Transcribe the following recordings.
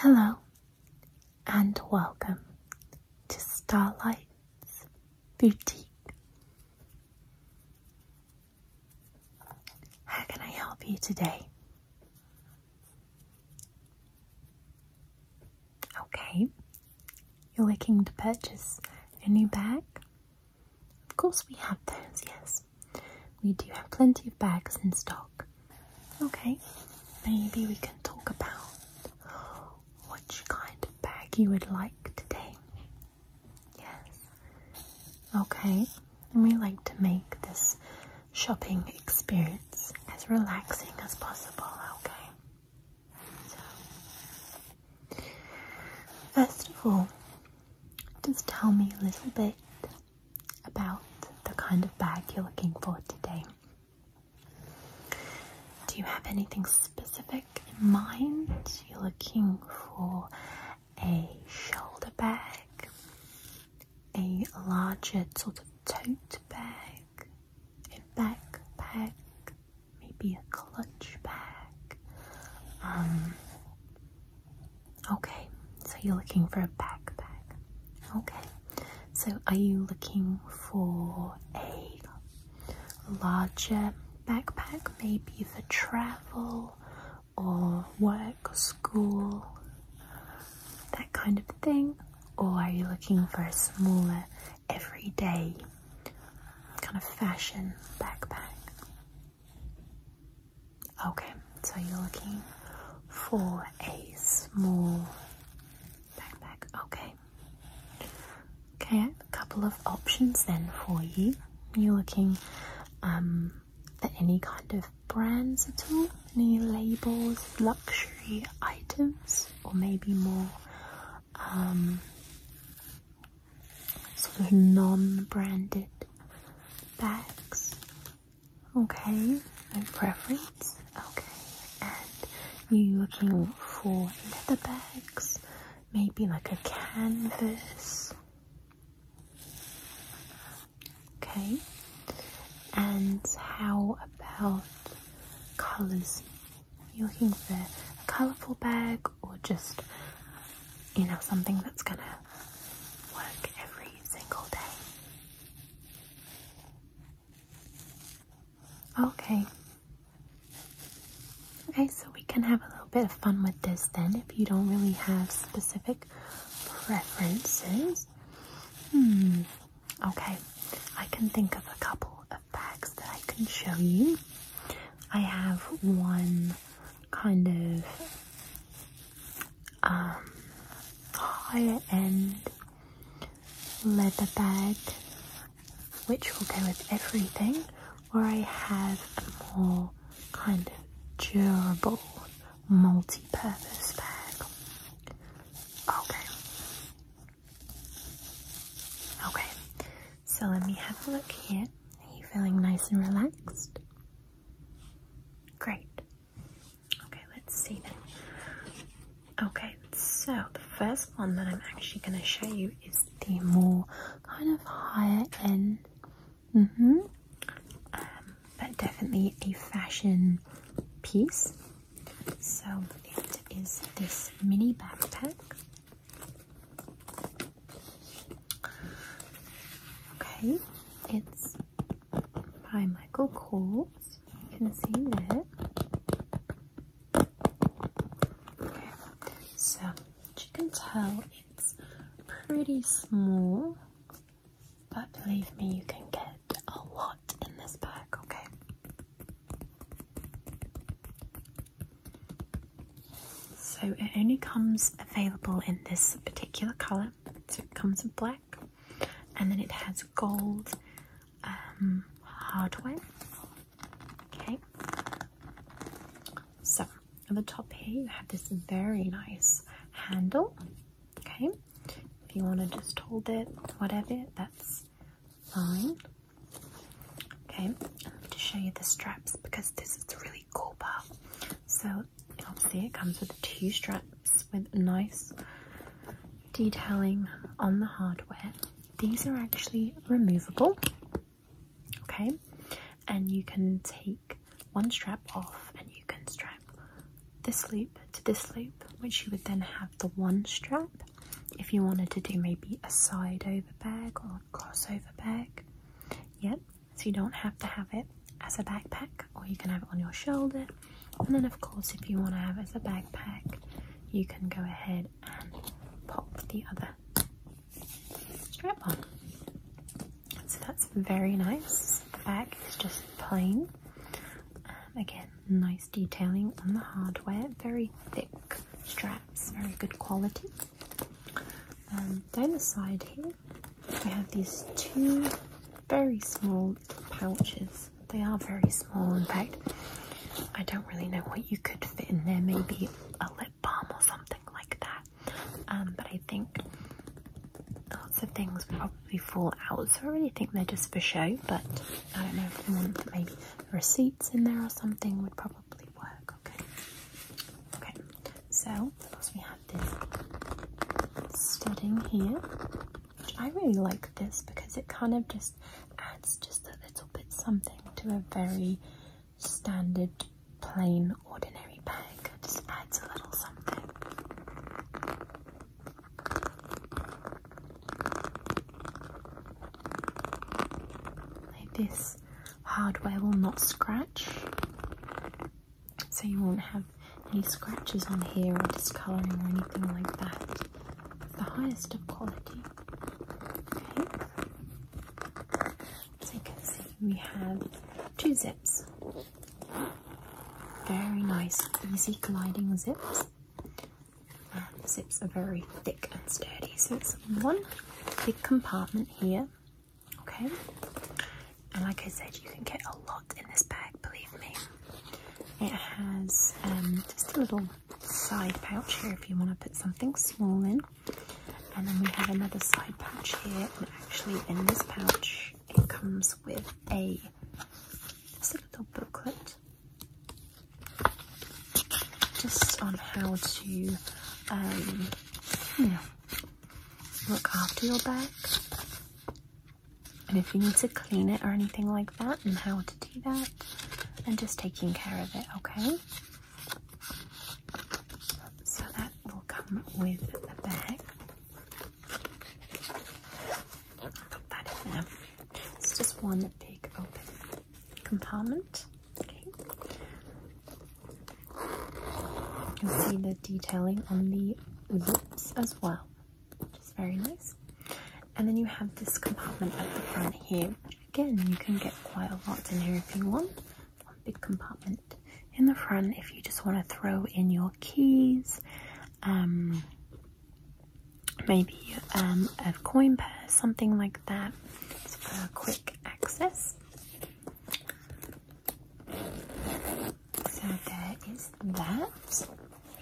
Hello and welcome to Starlight's Boutique. How can I help you today? Okay, you're looking to purchase a new bag? Of course, we have those, yes. We do have plenty of bags in stock. Okay, maybe we can talk about which kind of bag you would like today. Yes. Okay. And we like to make this shopping experience as relaxing as possible, okay? So, first of all, just tell me a little bit about the kind of bag you're looking for today. Do you have anything specific in mind? You're looking for a shoulder bag, a larger sort of tote bag, a backpack, maybe a clutch bag. Um, okay, so you're looking for a backpack. Okay, so are you looking for a larger backpack maybe for travel or work, school, that kind of thing, or are you looking for a smaller, everyday kind of fashion backpack? Okay, so you're looking for a small backpack, okay. Okay, a couple of options then for you. You're looking um, for any kind of brands at all, any labels, luxury items, or maybe more um, sort of non-branded bags. Okay, no preference. Okay, and you looking for leather bags, maybe like a canvas. Okay, and how about colors? you looking for a colourful bag or just you know something that's gonna work every single day. Okay, Okay, so we can have a little bit of fun with this then if you don't really have specific preferences. Hmm, okay, I can think of a couple of bags that I can show you. I have one kind of um, higher end leather bag which will go with everything, or I have a more kind of durable multi-purpose bag. Okay. Okay, so let me have a look here. Are you feeling nice and relaxed? Great. Okay, let's see then. Okay, so the first one that I'm actually going to show you is the more kind of higher end. Mm-hmm. Um, but definitely a fashion piece. So it is this mini backpack. Okay, it's by Michael Kors. You can see there so as you can tell, it's pretty small, but believe me, you can get a lot in this bag, okay? So it only comes available in this particular color. So it comes in black and then it has gold um, hardware Okay. So at the top here you have this very nice handle. Okay. If you want to just hold it, whatever, that's fine. Okay, to show you the straps because this is the really cool part. So obviously it comes with two straps with nice detailing on the hardware. These are actually removable, okay, and you can take one strap off and you can strap this loop to this loop, which you would then have the one strap if you wanted to do maybe a side over bag or a cross over bag. Yep, so you don't have to have it as a backpack, or you can have it on your shoulder. And then, of course, if you want to have it as a backpack, you can go ahead and pop the other strap on. So that's very nice. The back is just plain. Um, again, nice detailing on the hardware. Very thick straps, very good quality. Um, down the side here, we have these two very small pouches. They are very small. In fact, I don't really know what you could fit in there. Maybe a lip balm or something like that. Um, but I think lots of things probably fall out. So I really think they're just for show. But I don't know if you want maybe receipts in there or something would probably work. Okay. Okay. So plus we have this studding here. Which I really like this because it kind of just just adds just a little bit something to a very standard, plain, ordinary bag. Just adds a little something. this hardware will not scratch, so you won't have any scratches on here or discoloring or anything like that the highest of quality. Okay. So you can see we have two zips. Very nice, easy gliding zips. And the zips are very thick and sturdy. So it's one big compartment here. Okay. And like I said, you can get a lot in this bag, believe me. It has um, just a little side pouch here if you want to put something small in. And then we have another side pouch here. And actually, in this pouch, it comes with a, little booklet just on how to, um, look after your bag. And if you need to clean it or anything like that, and how to do that, that and just taking care of it, okay? So that will come with the bag. Put that in there. It's just one big open compartment. You can see the detailing on the zips as well which is very nice. And then you have this compartment at the front here. Again, you can get quite a lot in here if you want. One big compartment in the front if you just want to throw in your keys, um, maybe um, a coin purse, something like that for quick access. So there is that.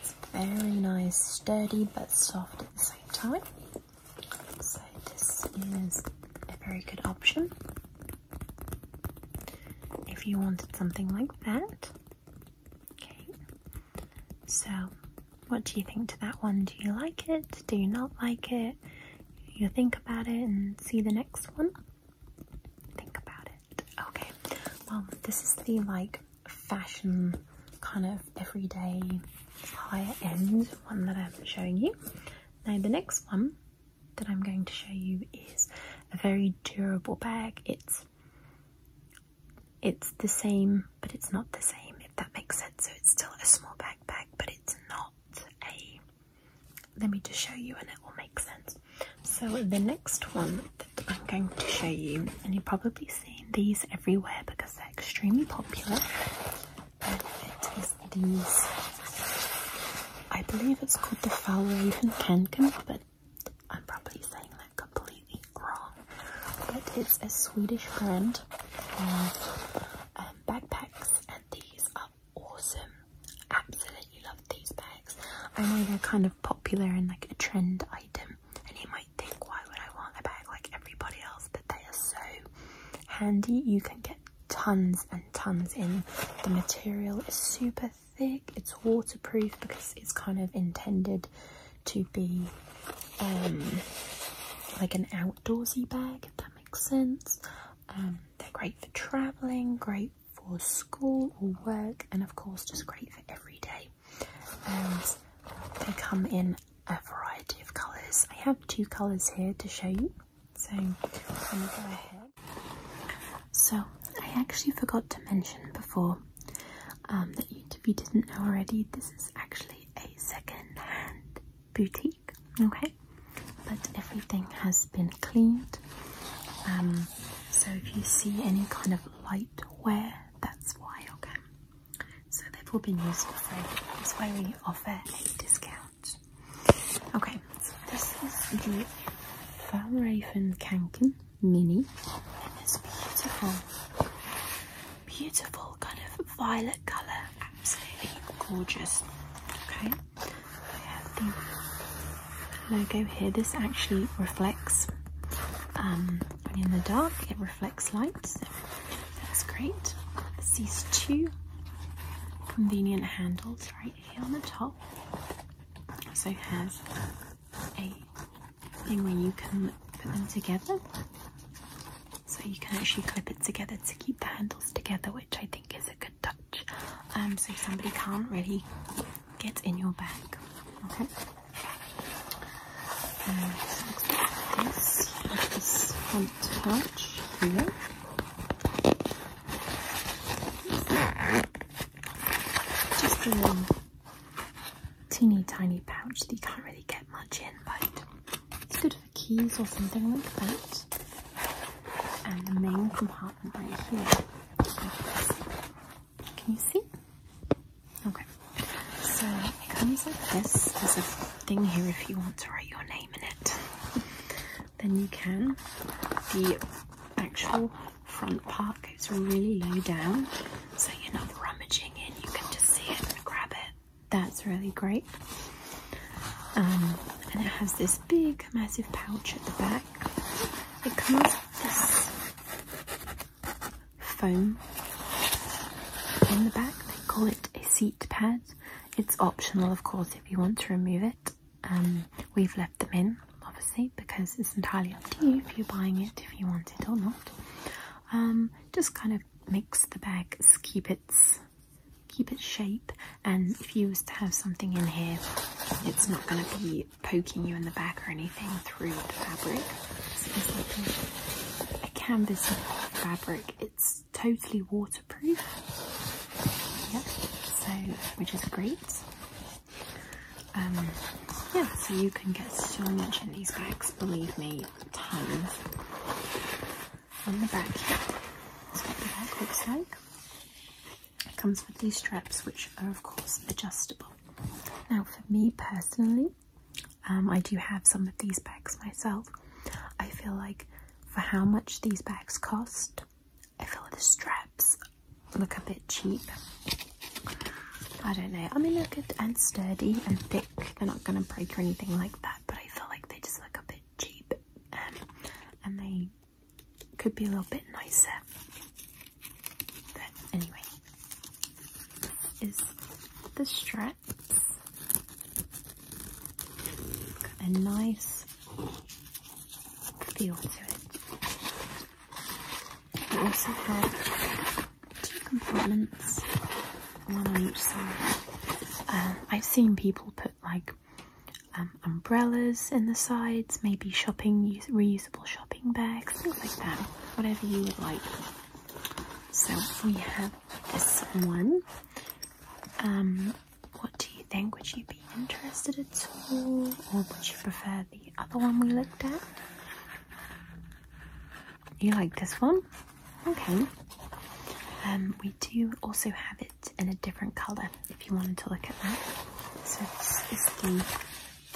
It's very nice, sturdy, but soft at the same time. So this is a very good option. If you wanted something like that. Okay. So what do you think to that one? Do you like it? Do you not like it? You think about it and see the next one? Think about it. Okay. Well, this is the like fashion kind of everyday higher end one that I'm showing you. Now the next one that I'm going to show you is a very durable bag. It's it's the same but it's not the same if that makes sense. So it's still a small backpack but it's not a let me just show you and it will make sense. So the next one I'm going to show you, and you've probably seen these everywhere because they're extremely popular. And it is these, I believe it's called the Foul Raven Kanken, but I'm probably saying that completely wrong. But it's a Swedish brand of um, backpacks, and these are awesome. Absolutely love these bags. I know they're kind of popular and like a trend item, and you might think, why would I want a bag like everybody else? But they are so handy. You can get tons and tons in. The material is super thick. It's waterproof because it's kind of intended to be um, like an outdoorsy bag, if that makes sense. Um, they're great for traveling, great for school or work, and of course, just great for every day. And they come in a variety of colours. I have two colours here to show you. So So I actually forgot to mention before um, that if you didn't know already, this is actually a second-hand boutique. Okay, but everything has been cleaned. Um, so if you see any kind of light wear that's why, okay? So they've all been used for free. That's why we offer a discount. Okay, this is the Van Raven Kanken Mini. it's beautiful. Beautiful kind of violet colour. Absolutely gorgeous. Okay logo here. This actually reflects um, in the dark, it reflects light, that's great. This two convenient handles right here on the top. Also has a thing where you can put them together. So you can actually clip it together to keep the handles together, which I think is a good touch. Um, so somebody can't really get in your bag. Okay. this, like front touch here. Just a little teeny tiny pouch that you can't really get much in, but it's good for keys or something like that. And the main compartment right here. Can you see? Okay. So it comes like this. There's a thing here if you want to write your name in it. Then you can. The actual front part goes really low down so you're not rummaging in. You can just see it and grab it. That's really great. Um, and it has this big massive pouch at the back. It comes like this foam in the back. They call it a seat pad. It's optional, of course, if you want to remove it. Um, we've left them in, obviously, because it's entirely up to you if you're buying it, if you want it or not. Um, just kind of makes the bag, keep its keep its shape and if you was to have something in here it's not going to be poking you in the back or anything through the fabric. a, canvas fabric. It's totally waterproof. Yeah, so which is great. Um, yeah, so you can get so much in these bags, believe me, tons. On the back here, that's what the back looks like. It comes with these straps, which are of course adjustable. Now, for me personally, um, I do have some of these bags myself. I feel like for how much these bags cost, I feel like the straps look a bit cheap. I don't know. I mean, they're good and sturdy and thick. They're not going to break or anything like that, but I feel like they just look a bit cheap. Um, and they could be a little bit nicer. But anyway, is the straps. a nice feel to it. We also have two compartments, on each side. Um, I've seen people put like um, umbrellas in the sides, maybe shopping reusable shopping bags, things like that, whatever you would like. So we have this one. Um, what do you think? Would you be interested at all, or would you prefer the other one we looked at? You like this one? Okay. Um, we do also have it in a different color if you wanted to look at that. So this is the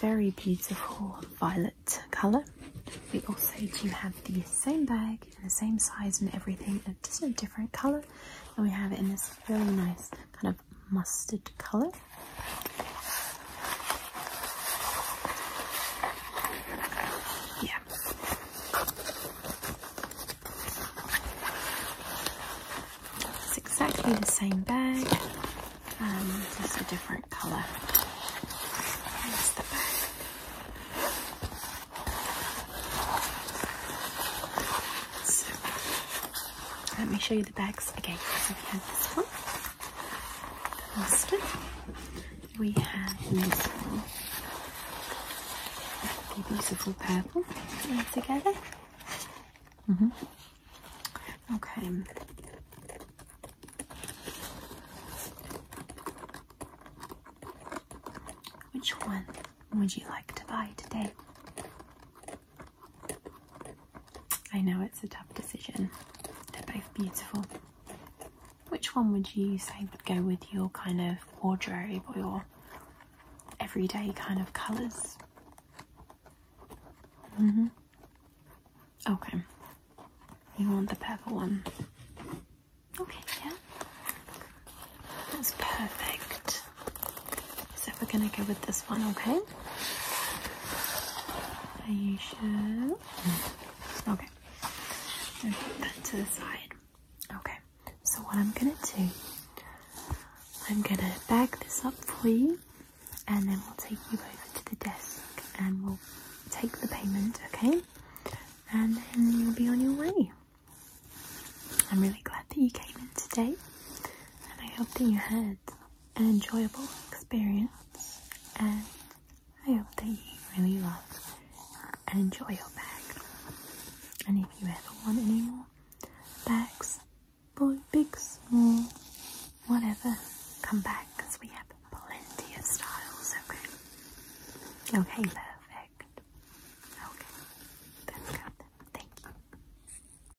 very beautiful violet colour. We also do have the same bag and the same size and everything, and just a different colour. And we have it in this really nice kind of mustard colour. Yeah. It's exactly the same bag, um, just a different colour. let me show you the bags again. we have this one, the We have this one, the beautiful purple, together. Mm -hmm. Okay. Which one would you like to buy today? I know it's a tough decision. They're both beautiful. Which one would you say would go with your kind of wardrobe or your everyday kind of colours? Mm hmm Okay. You want the purple one. Okay, yeah. That's perfect. So we're gonna go with this one, okay? Are you sure? Okay. Okay, put that to the side. Okay. So what I'm gonna do, I'm gonna bag this up for you and then we'll take you over to the desk and we'll take the payment, okay? And then you'll be on your way. I'm really glad that you came in today and I hope that you had an enjoyable experience and I hope that you really love and enjoy your bag. And if you ever want any more bags, boy, big, small, whatever. Come back because we have plenty of styles, okay? Okay, perfect. Okay, that's good. Thank you.